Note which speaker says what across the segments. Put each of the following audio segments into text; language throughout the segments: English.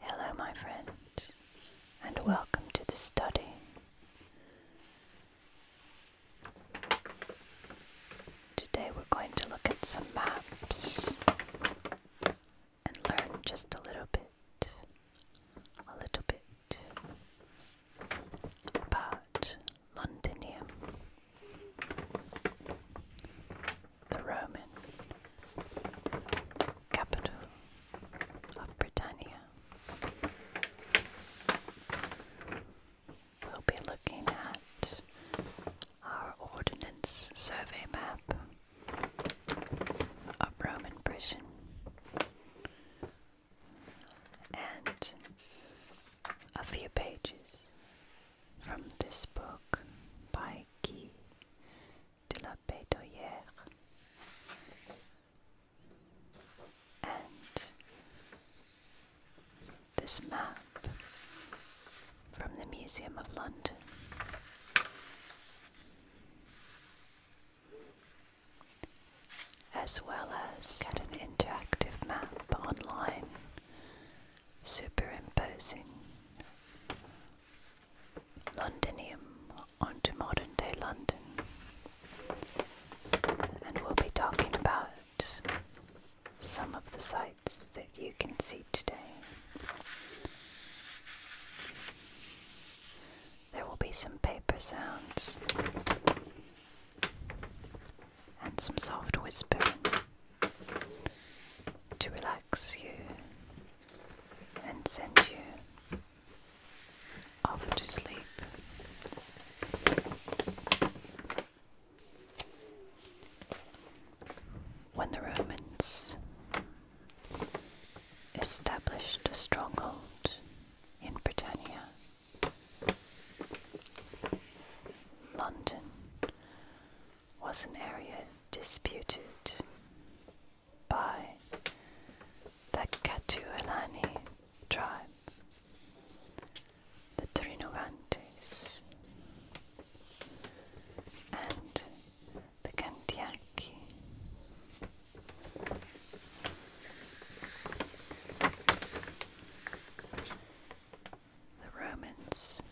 Speaker 1: Hello, my friend, and welcome to the study. Today we're going to look at some maps and learn just a little bit, a little bit about Londonium, The Roman capital of Britannia. We'll be looking at our ordinance Survey map of Roman prison, and a few pages from this book by Guy de la Bédoyère. And this map from the Museum of London. As well as an interactive map online superimposing Londinium onto modern day London. And we'll be talking about some of the sites that you can see today. There will be some paper sounds and some soft whisper to relax you and send you off to sleep. When the Romans established a stronghold in Britannia, London was an area disputed by the Catuellani tribe, the Trinovantes, and the Cantiaci the Romans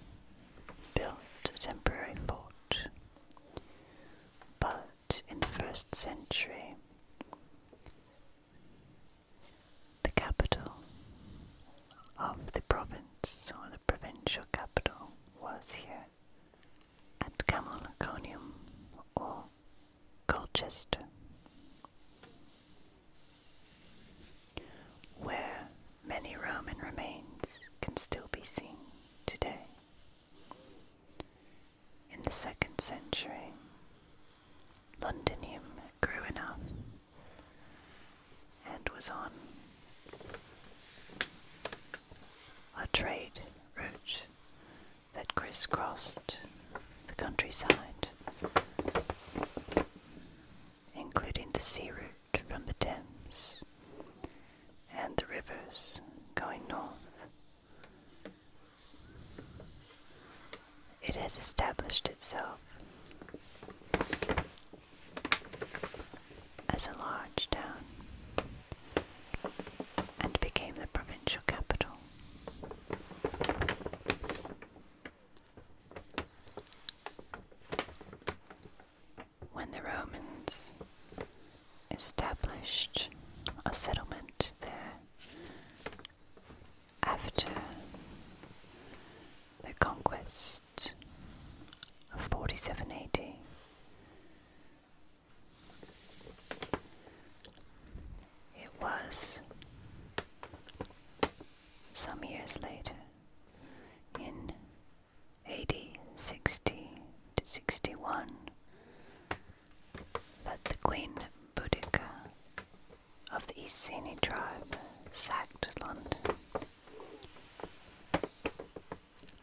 Speaker 1: built a temporary fort, but in the first century, the capital of the province or the provincial capital was here at Camalaconium or Colchester where many Roman remains can still be seen today. In the second century, Londinium grew enough and was on a trade route that crisscrossed the countryside including the sea route from the Thames and the rivers going north. It had established itself as a large town and became the provincial capital. When the Romans established a settlement there after the conquest of 4780, it was some years later, in AD 60 to 61, that the Queen Boudica of the Iceni tribe sacked London,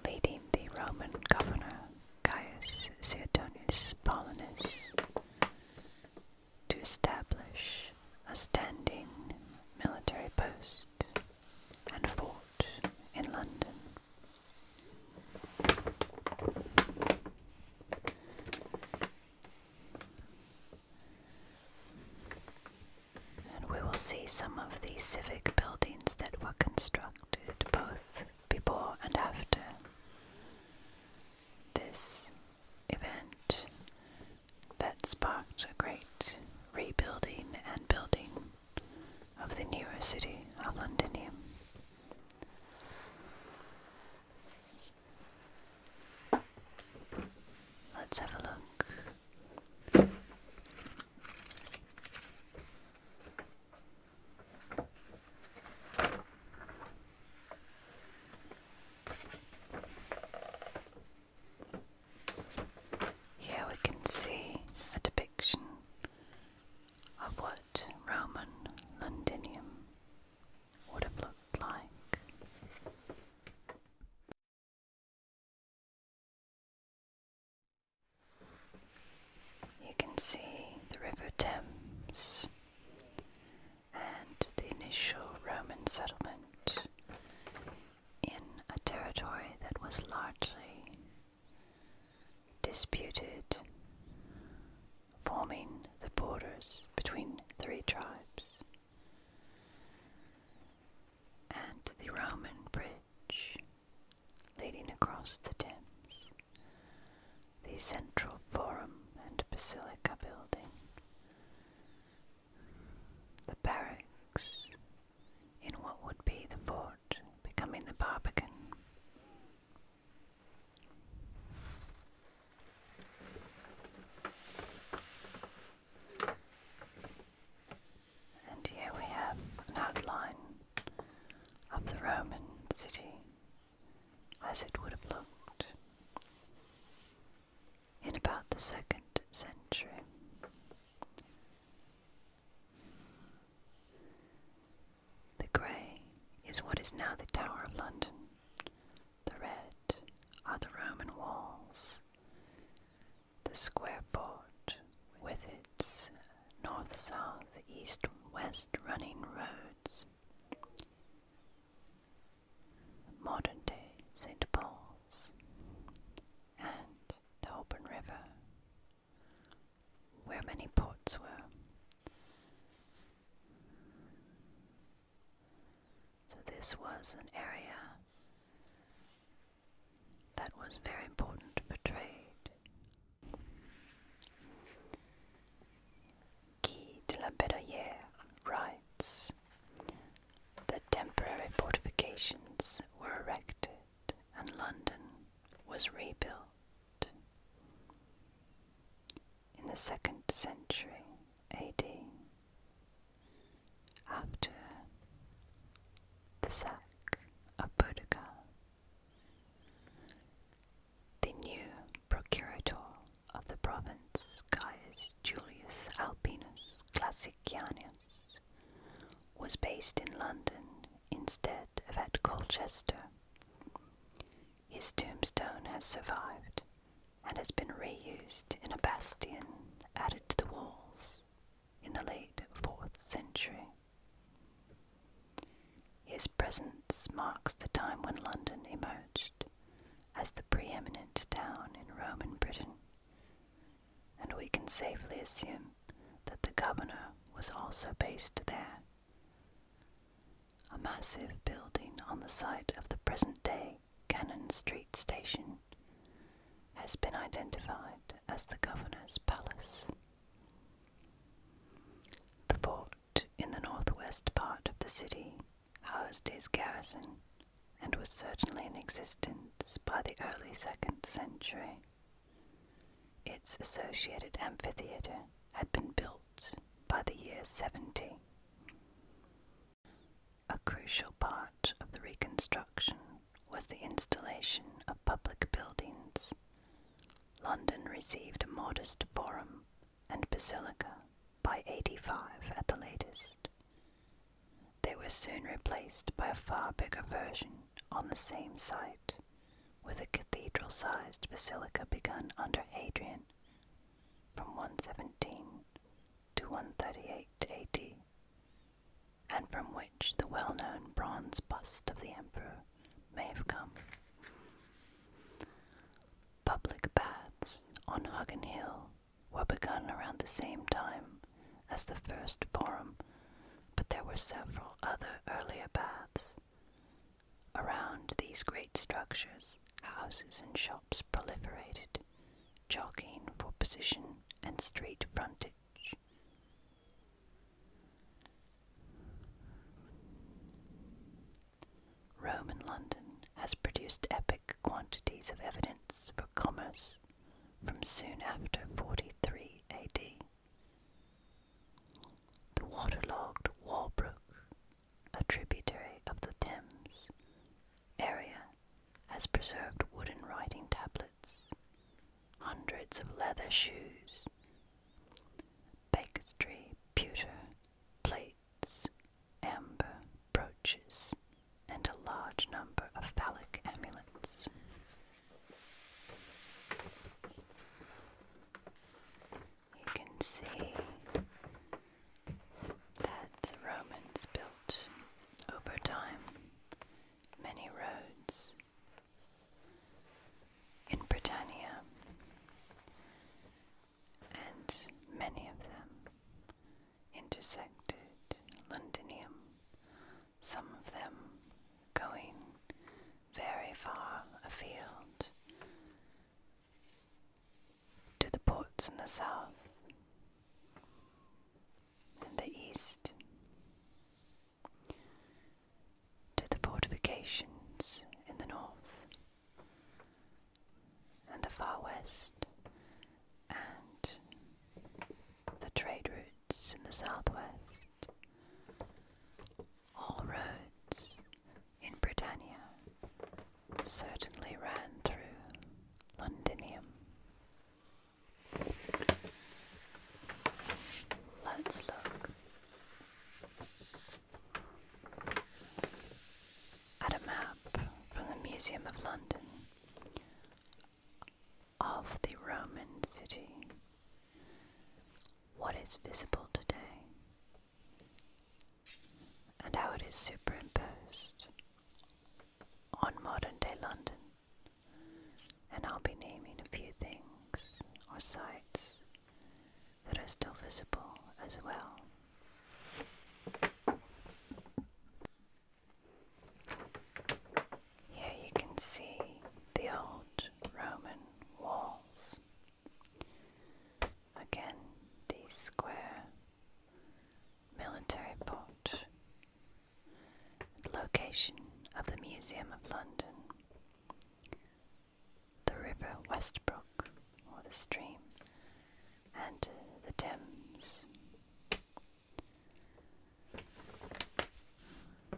Speaker 1: leading the Roman governor Gaius Suetonius Paulinus to establish a standing military post and fort in London. And we will see some of the civic buildings that were constructed both before and after this event that sparked a great rebuilding and building of the newer city of London. Let's have a look. Here we can see a depiction of what Roman Londinium would have looked like. You can see the River Thames and the initial Roman settlement in a territory that was largely disputed, forming the borders between three tribes. And the Roman bridge leading across the Thames, the central forum and basilica building the barracks in what would be the fort becoming the Barbican. And here we have an outline of the Roman city as it would have looked in about the second century. The grey is what is now the Tower of London. The red are the Roman walls. The square port, with its north, south, east, west running roads, modern day St. Paul's, and the Open River, where many ports were. So, this was an area that was very important for trade. Guy de la Bedelière writes that temporary fortifications were erected and London was rebuilt. In the second century AD, after the sack of Boudicca, the new procurator of the province, Caius Julius Albinus Classicianus, was based in London instead of at Colchester. His tombstone has survived and has been reused in a bastion added to the walls in the late 4th century. His presence marks the time when London emerged as the preeminent town in Roman Britain, and we can safely assume that the governor was also based there. A massive building on the site of the present day Cannon Street Station has been identified as the governor's palace. The fort in the northwest part of the city housed his garrison and was certainly in existence by the early 2nd century. Its associated amphitheatre had been built by the year 70. A crucial part of the reconstruction was the installation of public buildings. London received a modest forum and basilica by 85 at the latest, they were soon replaced by a far bigger version on the same site, with a cathedral sized basilica begun under Adrian, from 117 to 138 AD, and from which the well known bronze bust of the emperor may have come. Public baths on Huggen Hill were begun around the same time as the first forum, but there were several other earlier baths. Around these great structures, houses and shops proliferated, jockeying for position and street frontage. Roman London has produced epic quantities of evidence for commerce from soon after 43 AD. The waterlogged Walbrook, a tributary of the Thames area, has preserved wooden writing tablets, hundreds of leather shoes, bakestry, pewter, plate, amber brooches and a large number of phallic amulets. You can see that the Romans built over time many roads in Britannia, and many of them intersected Londinium, some of them going very far afield to the ports in the south in the east, to the fortifications in the north and the far west and the trade routes in the southwest. All roads in Britannia certainly ran through Londinium. Let's look at a map from the Museum of London of the Roman city. What is visible today and how it is superimposed on modern day London. And I'll be naming a few things or sites that are still visible as well. Here you can see the old Roman walls. Again, the square military port, location of the Museum of London, the River Westbrook, or the stream, and the Thames.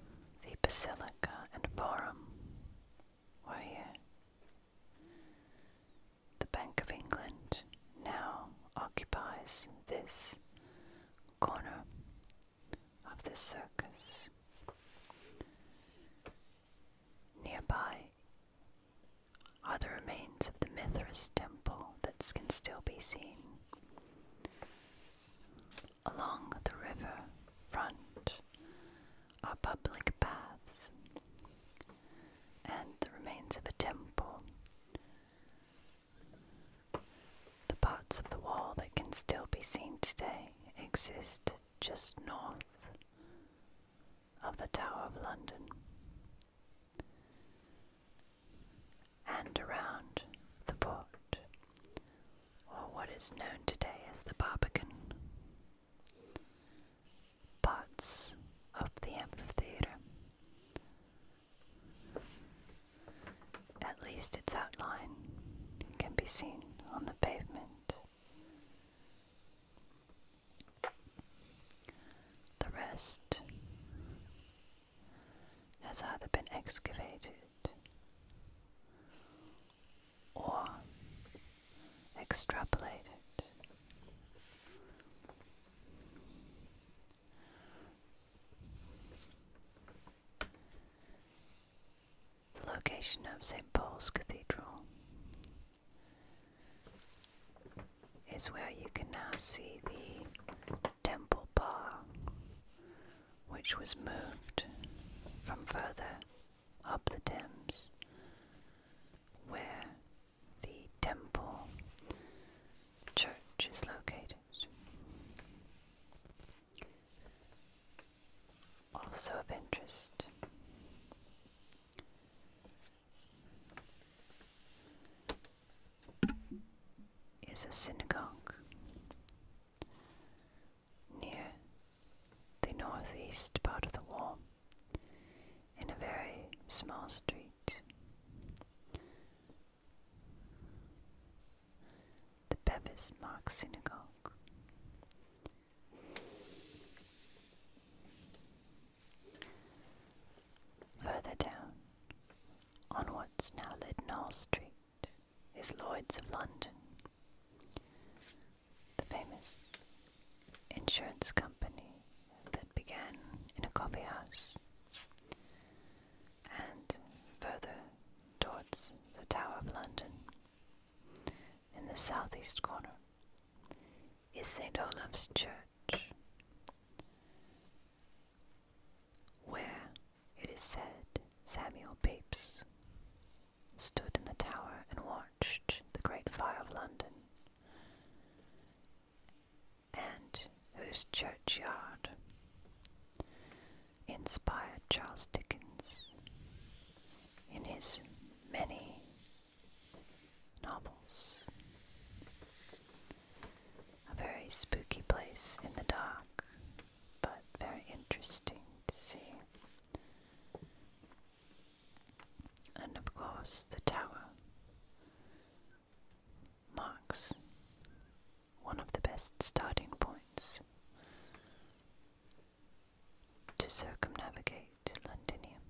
Speaker 1: The Basilica and Forum were The Bank of England now occupies this corner of the circus. Nearby are the remains of the Mithras temple that can still be seen. Along the river front are public baths and the remains of a temple. The parts of the wall that can still be seen today exist just north of the Tower of London and around the port, or what is known today as the Barbican. Parts of the amphitheatre, at least its outline, can be seen on the pavement. The rest has either been excavated or extrapolated. The location of St. Paul's Cathedral is where you can now see the temple bar, which was moved from further up the Thames, where the temple church is located. Also of interest is a synagogue near the northeast part of the wall in a very small street. The Bevis Mark Synagogue. Further down, on what's now Lidnall Street, is Lloyd's of London, the famous insurance company that began in a coffee house. And further towards the Tower of London, in the southeast corner, is St. Olaf's Church, where, it is said, Samuel Pepys stood in the tower and watched the Great Fire of London, and whose churchyard inspired Charles Dickens in his many novels. A very spooky place in the dark, but very interesting to see. And of course, the tower marks one of the best starting points to circumnavigate Londinium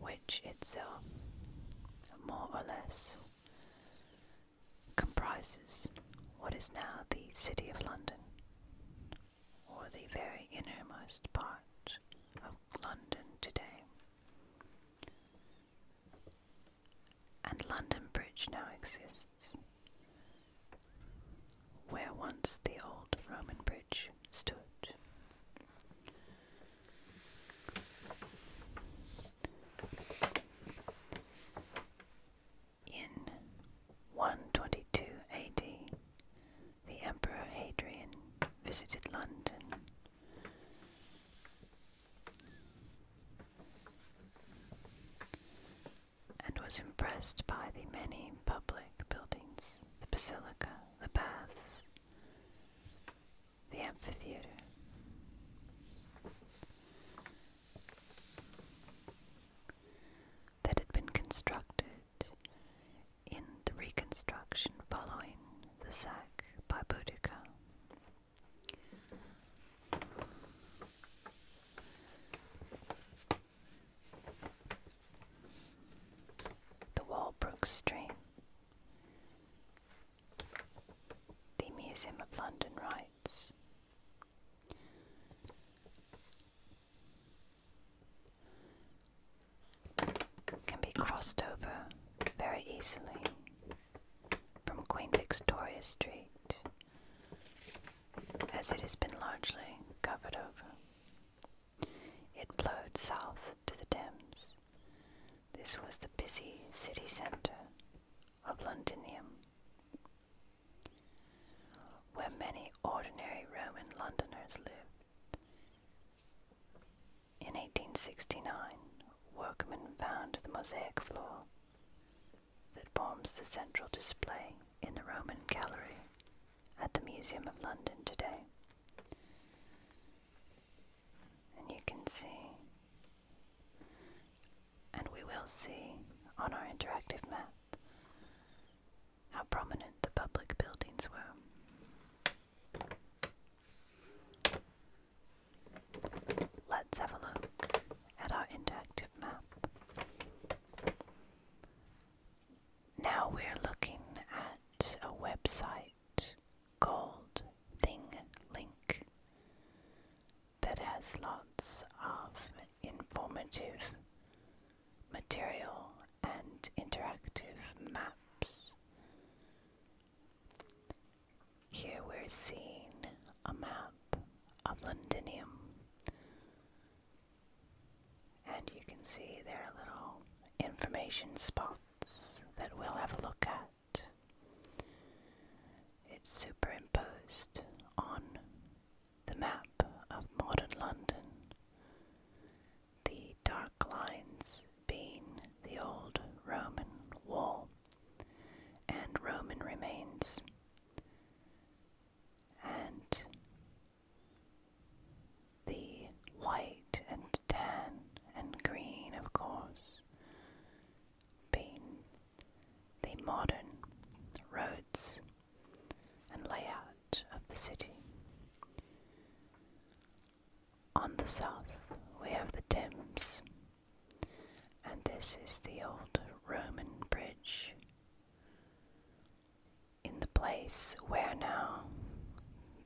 Speaker 1: which itself more or less comprises what is now the City of London, or the very innermost part of London today. And London Bridge now exists, where once the old Roman bridge in 122 AD, the Emperor Hadrian visited London. And was impressed by the many public buildings, the basilica, the baths, the amphitheater. That had been constructed in the reconstruction following the sack by Boudica. The wall broke the Museum of London writes can be crossed over very easily from Queen Victoria Street as it has been largely covered over. It flowed south to the Thames this was the busy city centre of Londinium, where many ordinary Roman Londoners lived. In 1869, workmen found the mosaic floor that forms the central display in the Roman Gallery at the Museum of London today. And you can see, and we will see on our interactive map, how prominent the public buildings were. Let's have a look at our interactive map. Now we're looking at a website gold thing link that has lots of informative material and interactive maps. Here we're seeing a map of Londinium, and you can see there are little information spots that we'll have a look at. It's superimposed on the map of modern London, the dark lines being the old Roman wall and Roman remains. And the white and tan and green, of course, being the modern roads and layout of the city. On the south, we have the Thames, and this is the old Roman bridge. In the place where now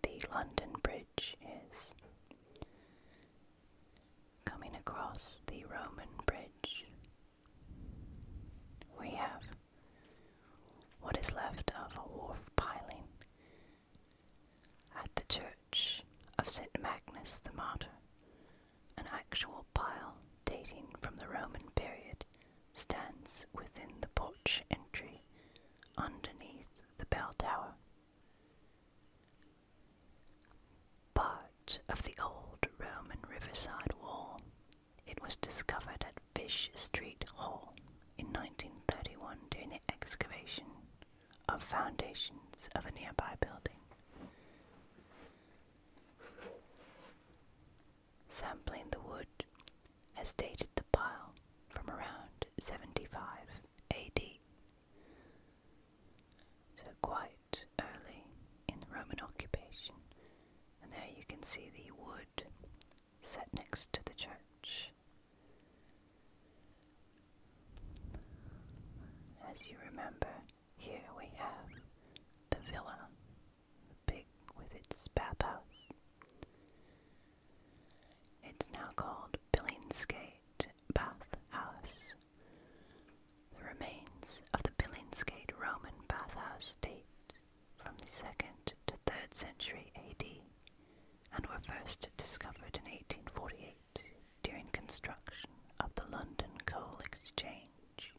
Speaker 1: the London Bridge bridge is. Coming across the Roman bridge, we have what is left of a wharf piling at the church of St. Magnus the Martyr, an actual pile dating from the Roman period stands within the porch entry underneath the bell tower. Part of the old Roman riverside wall. It was discovered at Fish Street Hall in 1931 during the excavation of foundations of a nearby building. Sampling the wood has dated the pile from around 75 AD. So quite early in the Roman occupation. And there you can see the wood set next to the church. As you remember, here we have the villa, big with its bathhouse. It's now called Billingsgate Bath House. The remains of the Billingsgate Roman bathhouse date from the 2nd to 3rd century AD and were first discovered in 1848 during construction of the London Coal Exchange.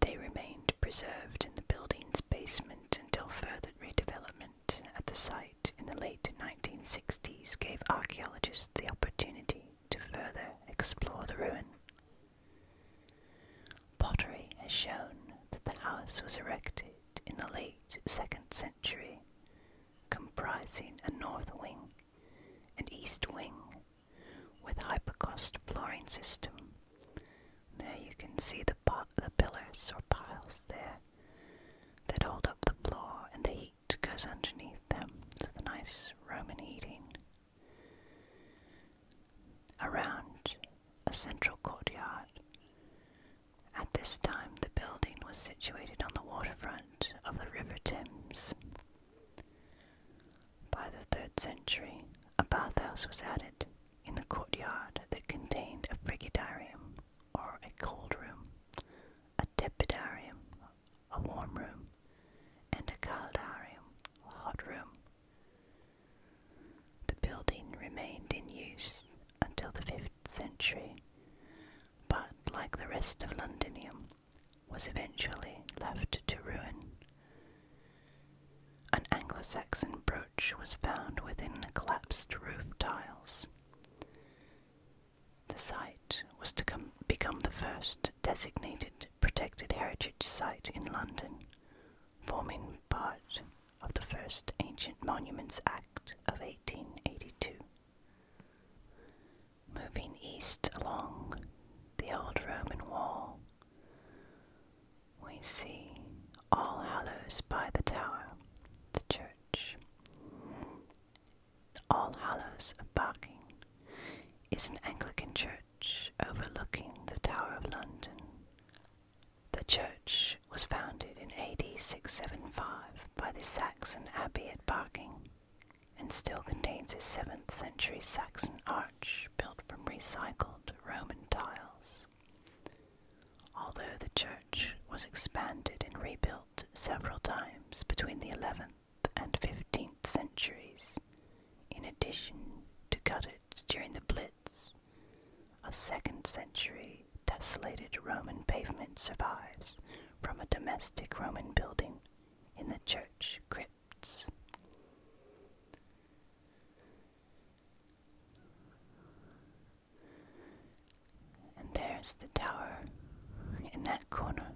Speaker 1: They remained preserved in the building's basement until further redevelopment at the site in the late 1960s gave archaeologists the opportunity to further explore the ruin. Pottery has shown that the house was erected in the late 2nd century, comprising a north wing and east wing with hypocaust flooring system. There you can see the, the pillars or piles there that hold up the floor and the heat goes underneath them to the nice Roman heating. Around a central courtyard. At this time, the building was situated on the waterfront of the River Thames. By the third century, a bathhouse was added in the courtyard that contained a frigidarium or a cold room, a tepidarium, a warm room, and a caldarium, a hot room. The building remained in use until the 5th century, but like the rest of Londinium, was eventually left to ruin. An Anglo Saxon brooch was found within the collapsed roof tiles. The site was to become the first designated protected heritage site in London, forming part of the first Ancient Monuments Act of 1882. Moving east along the old Roman wall, we see All Hallows by the Tower, the church. All Hallows of Barking is an Anglican church overlooking the Tower of London. The church was founded in AD 675 by the Saxon abbey at Barking and still contains a 7th century Saxon arch built from recycled Roman tiles. Although the church was expanded and rebuilt several times between the 11th and 15th centuries, in addition to cut during the Blitz, a 2nd century tessellated Roman pavement survives from a domestic Roman building in the church crypts. And there's the tower in that corner.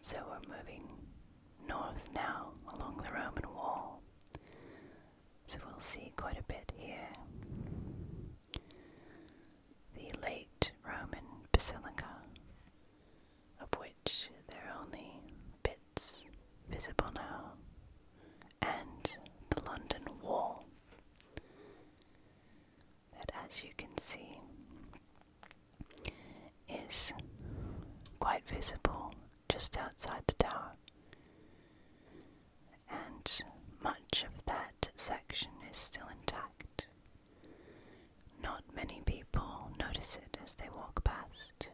Speaker 1: So we're moving north now along the Roman wall. So we'll see quite a bit here. The late Roman basilica, of which there are only bits visible now and the London Wall. That, as you can see, is quite visible just outside the tower, and much of that section is still intact. Not many people notice it as they walk past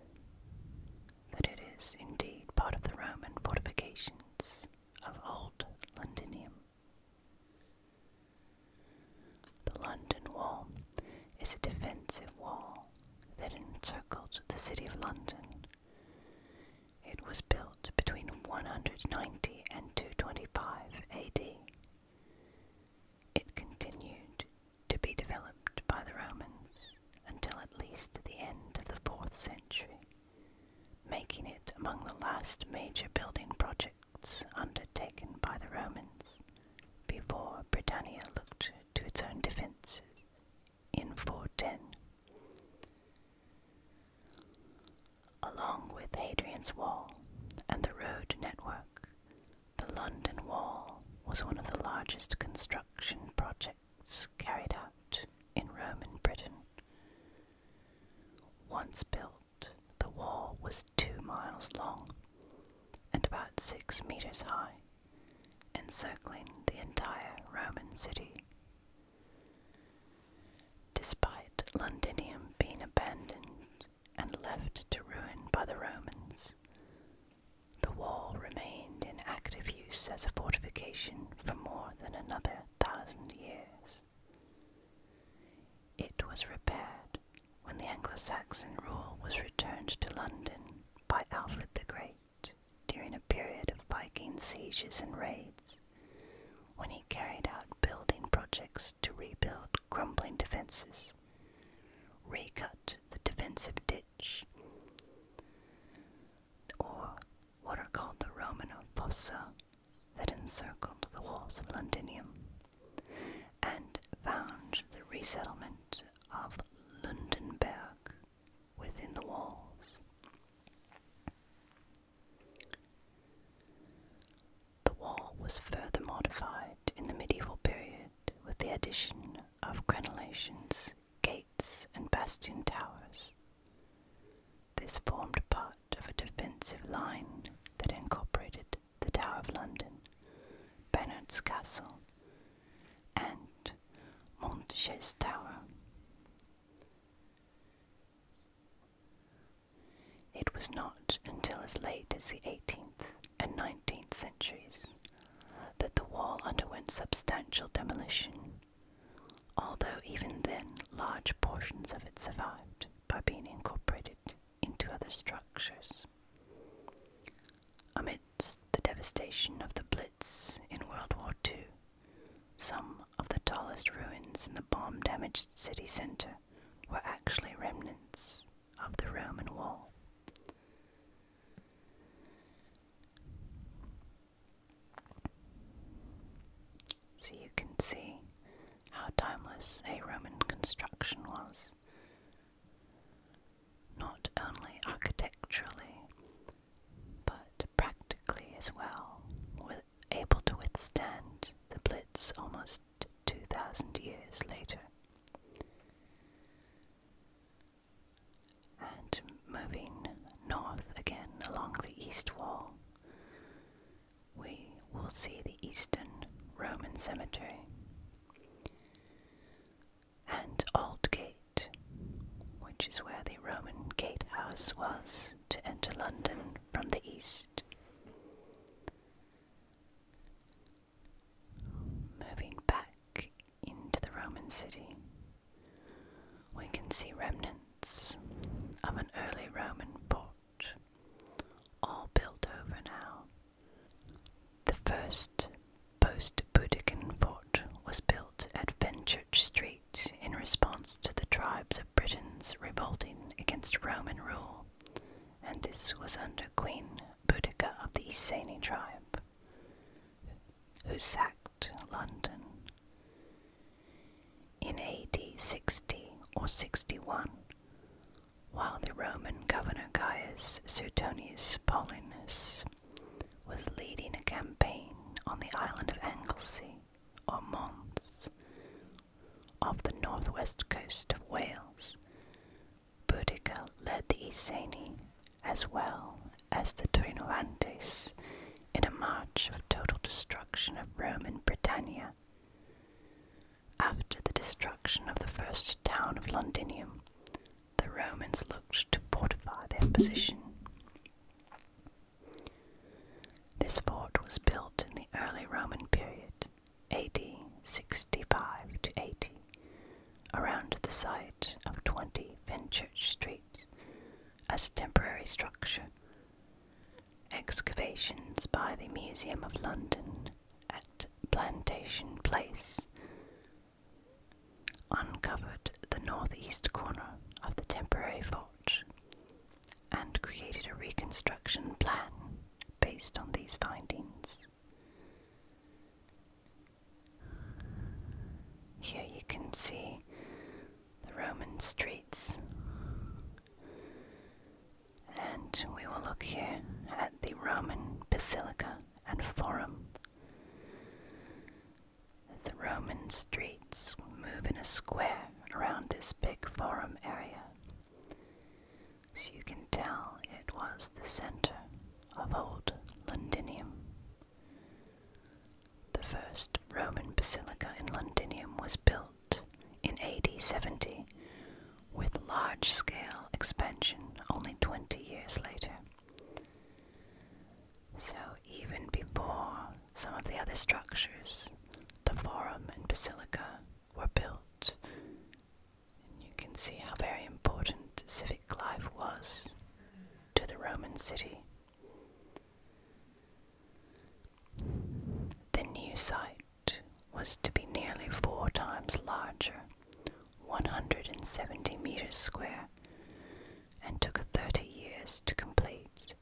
Speaker 1: that it is indeed part of the Roman fortifications of Old Londinium. The London Wall is a defensive wall that encircled the city of London. It was built between 190 and 225 AD. It continued to be developed by the Romans until at least the end of the 4th century, making it among the last major building projects undertaken by the Romans before Britannia looked to its own defences in 410. Along with Hadrian's Wall and the road network, the London Wall was one of the largest construction projects carried out in Roman Britain. Once built, the wall was two miles long and about six meters high, encircling the entire Roman city. Despite Londinium being abandoned and left to ruin by the Romans, the wall remained in active use as a fortification for more than another thousand years. It was repaired when the Anglo-Saxon rule was returned to London by Alfred the Great during a period of Viking sieges and raids, when he carried out building projects to rebuild crumbling defences, recut the defensive ditch, or what are called the Romanov fossa that encircled the walls of Londinium, and found the resettlement of Lundenberg within the walls. The wall was further modified in the medieval period with the addition of crenellations gates, and bastion towers. This formed part of a defensive line that incorporated the Tower of London, Bernard's Castle, and Montchase Tower. It was not until as late as the 18th and 19th centuries that the wall underwent substantial demolition although even then large portions of it survived by being incorporated into other structures. Amidst the devastation of the Blitz in World War II, some of the tallest ruins in the bomb damaged city centre were actually remnants of the Roman Wall. So you can see how timeless a Roman construction was. Not only architecturally, but practically as well, able to withstand the Blitz almost 2,000 years later and moving north again along the east wall, we will see the Eastern Roman Cemetery and Aldgate, which is where the Roman gatehouse was to enter London from the east. Moving back into the Roman city, we can see remnants of an early Roman port, all built over now. The first post post-Boudiccan fort was built at Fenchurch Street in response to the tribes of Britons revolting against Roman rule, and this was under Queen Boudica of the Iceni tribe, who sacked London. In AD 60 or 61, while the Roman governor Gaius Suetonius Paulinus was leading a campaign on the island of Anglesey, or Mons, off the northwest coast of Wales, Boudicca led the Iceni as well as the Trinoantes in a march of total destruction of Rome and Britannia. After the destruction of the first town of Londinium, the Romans looked to fortify their position. This fort was built in the early Roman period, AD 65 to 80, around the site of 20 Fenchurch Street as a temporary structure. Excavations by the Museum of London at Plantation Place uncovered the northeast corner of the temporary fort and created a reconstruction plan based on these findings. Here you can see the Roman streets. And we will look here at the Roman Basilica and Forum. The Roman streets move in a square around this big forum area. So you can tell it was the center of old Londinium. The first Roman basilica in Londinium was built in AD 70 with large scale expansion only 20 years later. So, even before some of the other structures, the Forum and Basilica were built. And you can see how very important civic life was to the Roman city. The new site was to be nearly four times larger, 170 meters square, and took 30 years to complete,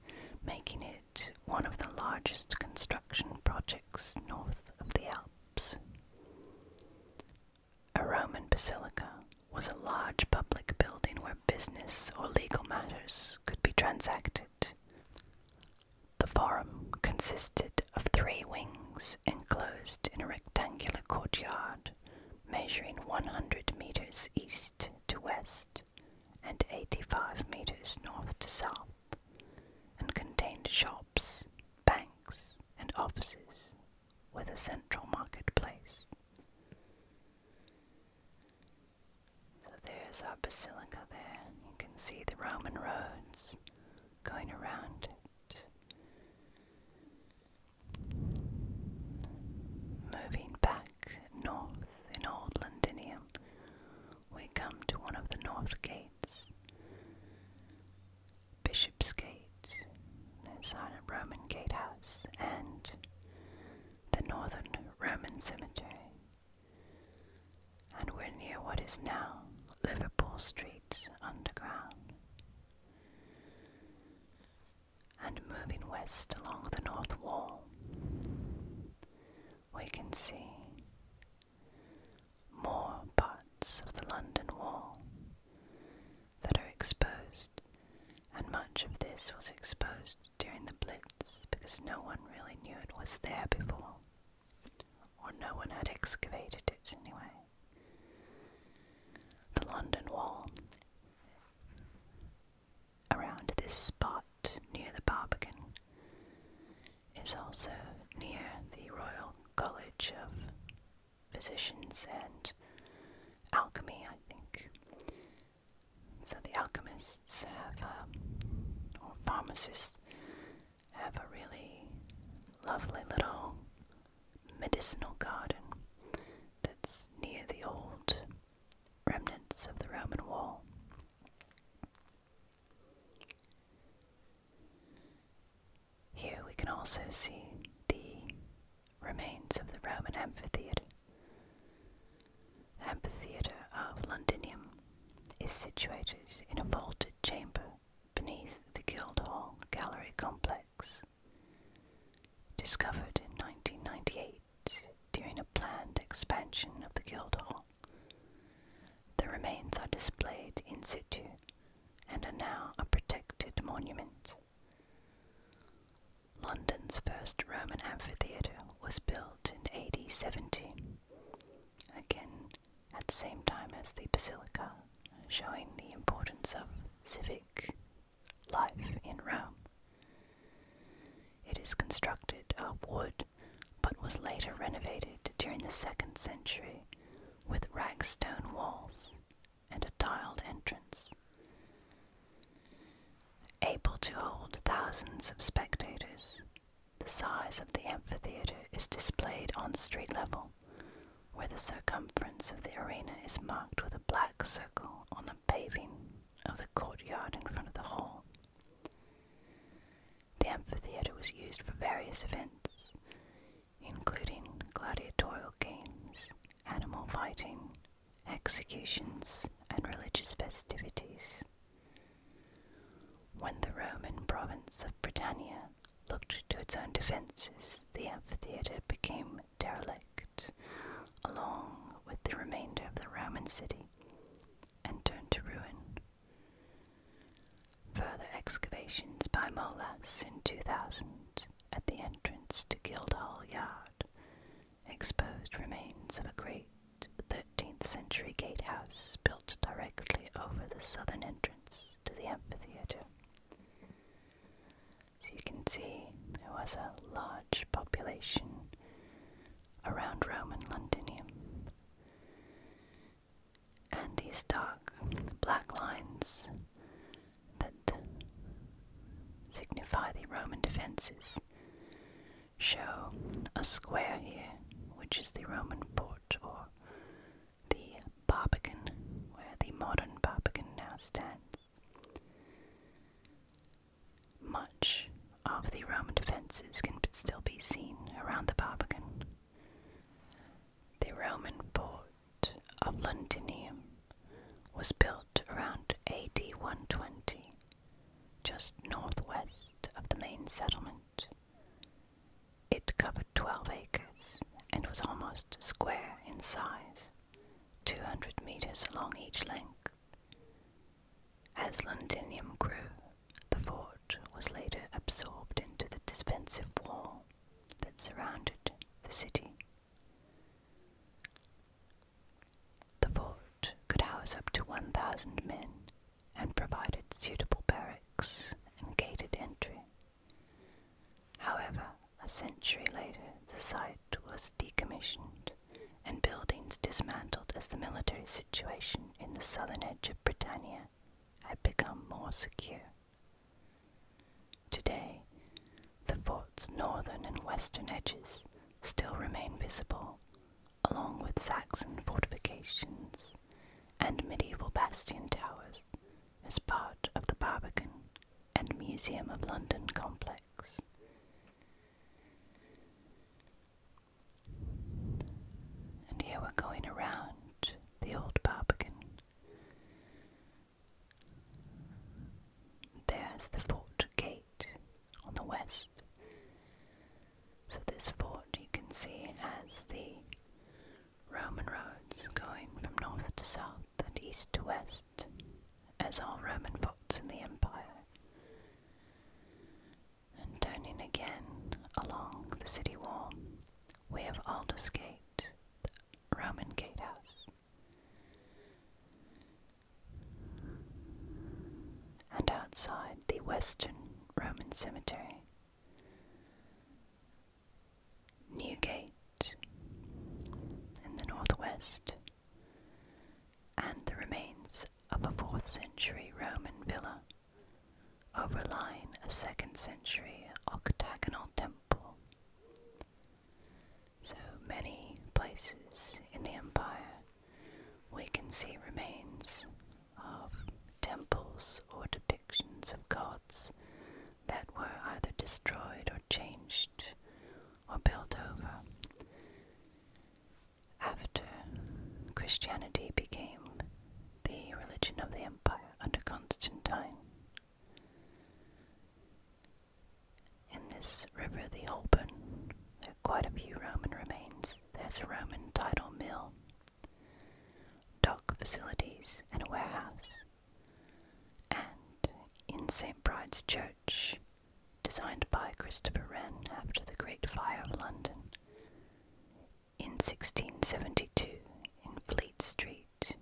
Speaker 1: making it one of the largest construction projects north of the Alps. A Roman basilica was a large public building where business or legal matters could be transacted. The forum consisted of three wings enclosed in a rectangular courtyard measuring 100 meters east to west and 85 meters north to south and contained shops, banks, and offices with a central marketplace. So there's our basilica there. You can see the Roman roads going around it. Moving back north in Old Londinium, we come to one of the north gates, Bishop's Gate, inside a Roman gatehouse, and the northern Roman cemetery, and we're near what is now Liverpool Street Underground. And moving west along the north wall, we can see more parts of the London Wall that are exposed, and much of this was exposed during the Blitz because no one really knew it was there before, or no one had excavated it anyway. The London Wall. Around this spot near the Barbican is also near the Royal College of Physicians and Alchemy, I think, so the alchemists have, a, um, or pharmacists, have a really lovely little medicinal garden that's near the old remnants of the Roman wall. Here we can also see the remains of the Roman amphitheatre. amphitheatre of Londinium is situated in a vaulted chamber beneath the Guildhall Gallery complex. Discovered in 1998 during a planned expansion of the Guildhall, the remains are displayed in situ and are now a protected monument. London's first Roman amphitheatre was built in AD again at the same time as the basilica, showing the importance of civic life in Rome. It is constructed of wood but was later renovated during the second century with ragged stone walls and a tiled entrance. Able to hold thousands of spectators, the size of the amphitheatre is displayed on street level, where the circumference of the arena is marked with a black circle on the paving of the courtyard in front of the hall. The amphitheatre was used for various events, including gladiatorial games, animal fighting, executions, and religious festivities. When the Roman province of Britannia looked to its own defences, the amphitheatre became derelict, along with the remainder of the Roman city, and turned to ruin. Further excavations by Molas in 2000 at the entrance to Guildhall Yard exposed remains of a great 13th century gatehouse built directly over the southern entrance to the amphitheater. So you can see there was a large population around Roman Londinium. And these dark black lines that signify the Roman defenses show a square here, which is the Roman port or the Barbican, where the modern Barbican now stands. Much of the Roman defences can still be seen around the Barbican. The Roman port of Londinium was built around AD 120 just northwest of the main settlement. It covered 12 acres and was almost square in size, 200 meters along each length. As Londinium grew, the fort was later absorbed into the defensive wall that surrounded the city. The fort could house up to 1,000 men and provided suitable barracks and gated entry. However, a century later, the site was decommissioned and buildings dismantled as the military situation in the southern edge of Britannia had become more secure. Today, the fort's northern and western edges still remain visible, along with Saxon fortifications and medieval bastion towers, as part of the Barbican and Museum of London complex. And here we're going around the old Barbican. There's the port gate on the west. So this fort you can see has the Roman roads going from north to south and east to west, as all Roman forts in the empire. And turning again along the city wall, we have Aldersgate, the Roman gatehouse and outside the Western Roman Cemetery. Newgate in the northwest, and the remains of a 4th century Roman villa overlying a 2nd century octagonal temple. So many places in the empire we can see remains of temples or depictions of gods that were either destroyed or changed or built over. After Christianity became the religion of the empire under Constantine, in this river, the Alban, there are quite a few Roman remains. There's a Roman tidal mill, dock facilities, and a warehouse. And in St. Bride's Church, designed by Christopher Wren after the Great Fire of London, in 1672, in Fleet Street,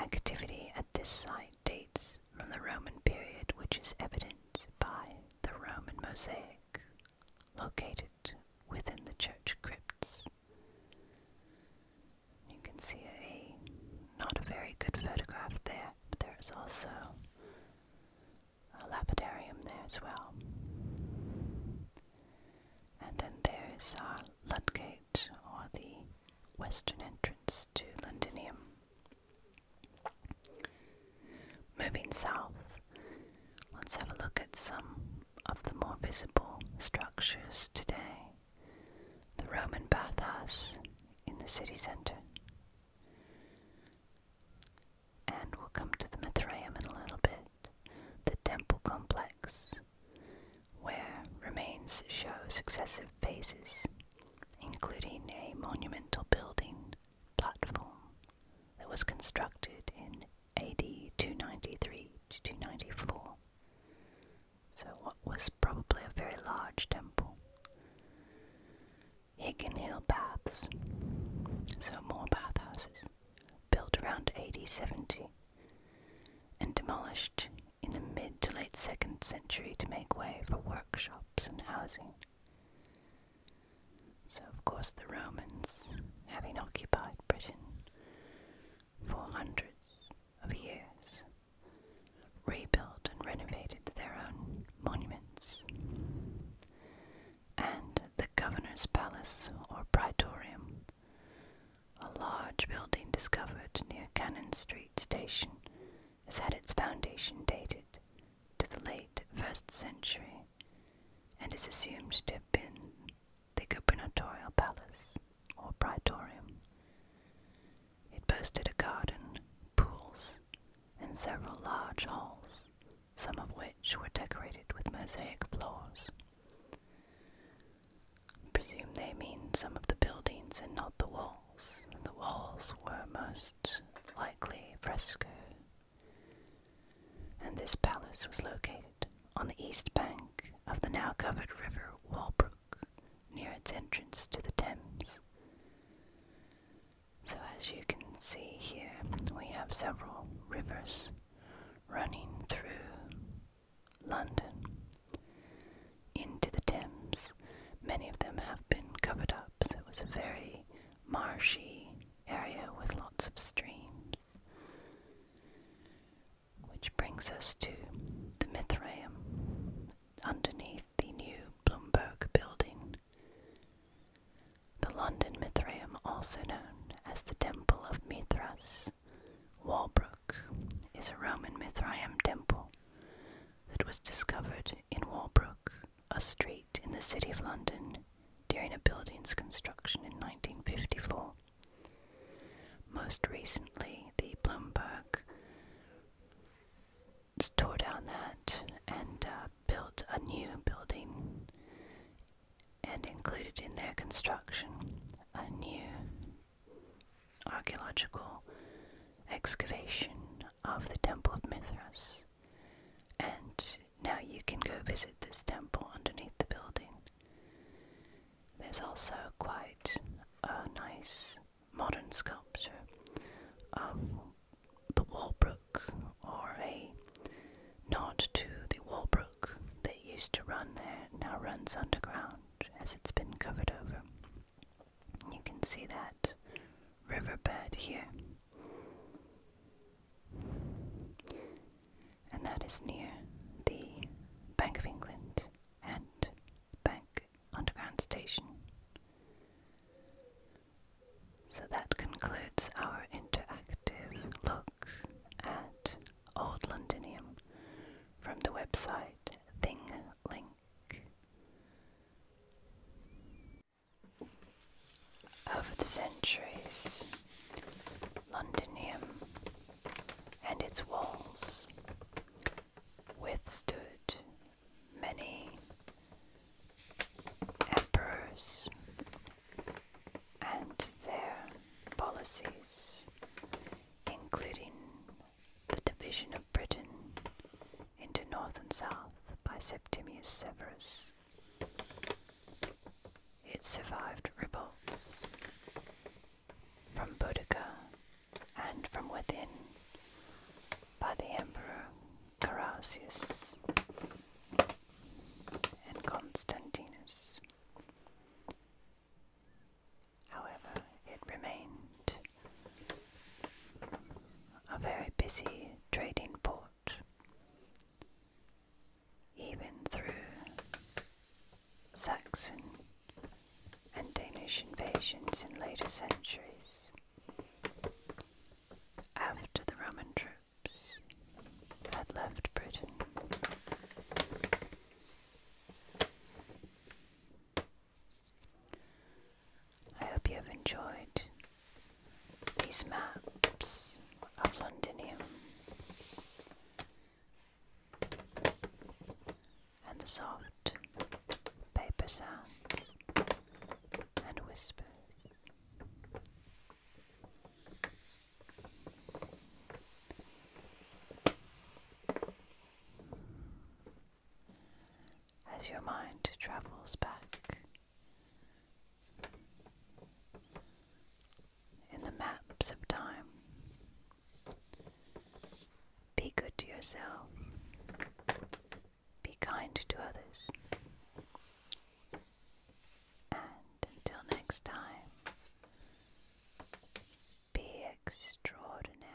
Speaker 1: activity at this site dates from the Roman period which is evident by the Roman mosaic located within the church crypts. You can see a not a very good photograph there, but there is also a lapidarium there as well. And then there is our Ludgate, or the western entrance to Londinium. Moving south, let's have a look at some of the more visible structures today. The Roman bathhouse in the city center. And we'll come to the Mithraeum in a little bit, the temple complex, where remains show successive phases including a monumental building platform that was constructed in AD 293 to 294. So, what was probably a very large temple. Higgin Hill Baths, so more bathhouses, built around AD 70 and demolished in the mid to late 2nd century to make way for workshops and housing. So, of course, the Romans, having occupied Britain for hundreds of years, rebuilt and renovated their own monuments. And the governor's palace, or praetorium, a large building discovered near Cannon Street Station, has had its foundation dated to the late 1st century and is assumed to have been the gubernatorial palace or praetorium. It boasted a garden, pools, and several large halls, some of which were decorated with mosaic floors. I presume they mean some of the buildings and not the walls, the walls were most likely fresco. And this palace was located on the east bank of the now covered river Walbrook, near its entrance to the Thames. So, as you can see here, we have several rivers running through London into the Thames. Many of them have been covered up, so it was a very marshy area with lots of streams. Which brings us to the Mithraeum, underneath the new Bloomberg building. The London Mithraeum, also known as the Temple of Mithras, Walbrook, is a Roman Mithraeum temple that was discovered in Walbrook, a street in the City of London, during a building's construction in 1954. Most recently, the Bloomberg tore down that and uh, built a new building, and included in their construction a new archaeological excavation of the Temple of Mithras. And now you can go visit this temple underneath the building. There's also quite a nice modern sculpture of the Walbrook, or a nod to the Walbrook that used to run there, now runs underground as it's been covered over. You can see that riverbed here. And that is near the Bank of England and Bank Underground Station. So that concludes our interactive look at Old Londonium from the website ThingLink. Over the centuries, Londinium and its walls withstood many emperors and their policies, including the division of. Britain into north and south by Septimius Severus. It survived revolts from Boudicca and from within by the Emperor Carausius and Constantinus. However, it remained a very busy trading port, even through Saxon and Danish invasions in later centuries. After the Roman troops had left Britain, I hope you have enjoyed these maps of Londinium and the soft paper sounds and whispers as your mind travels back. In the maps of time, be good to yourself, be kind to others, and until next time, be extraordinary.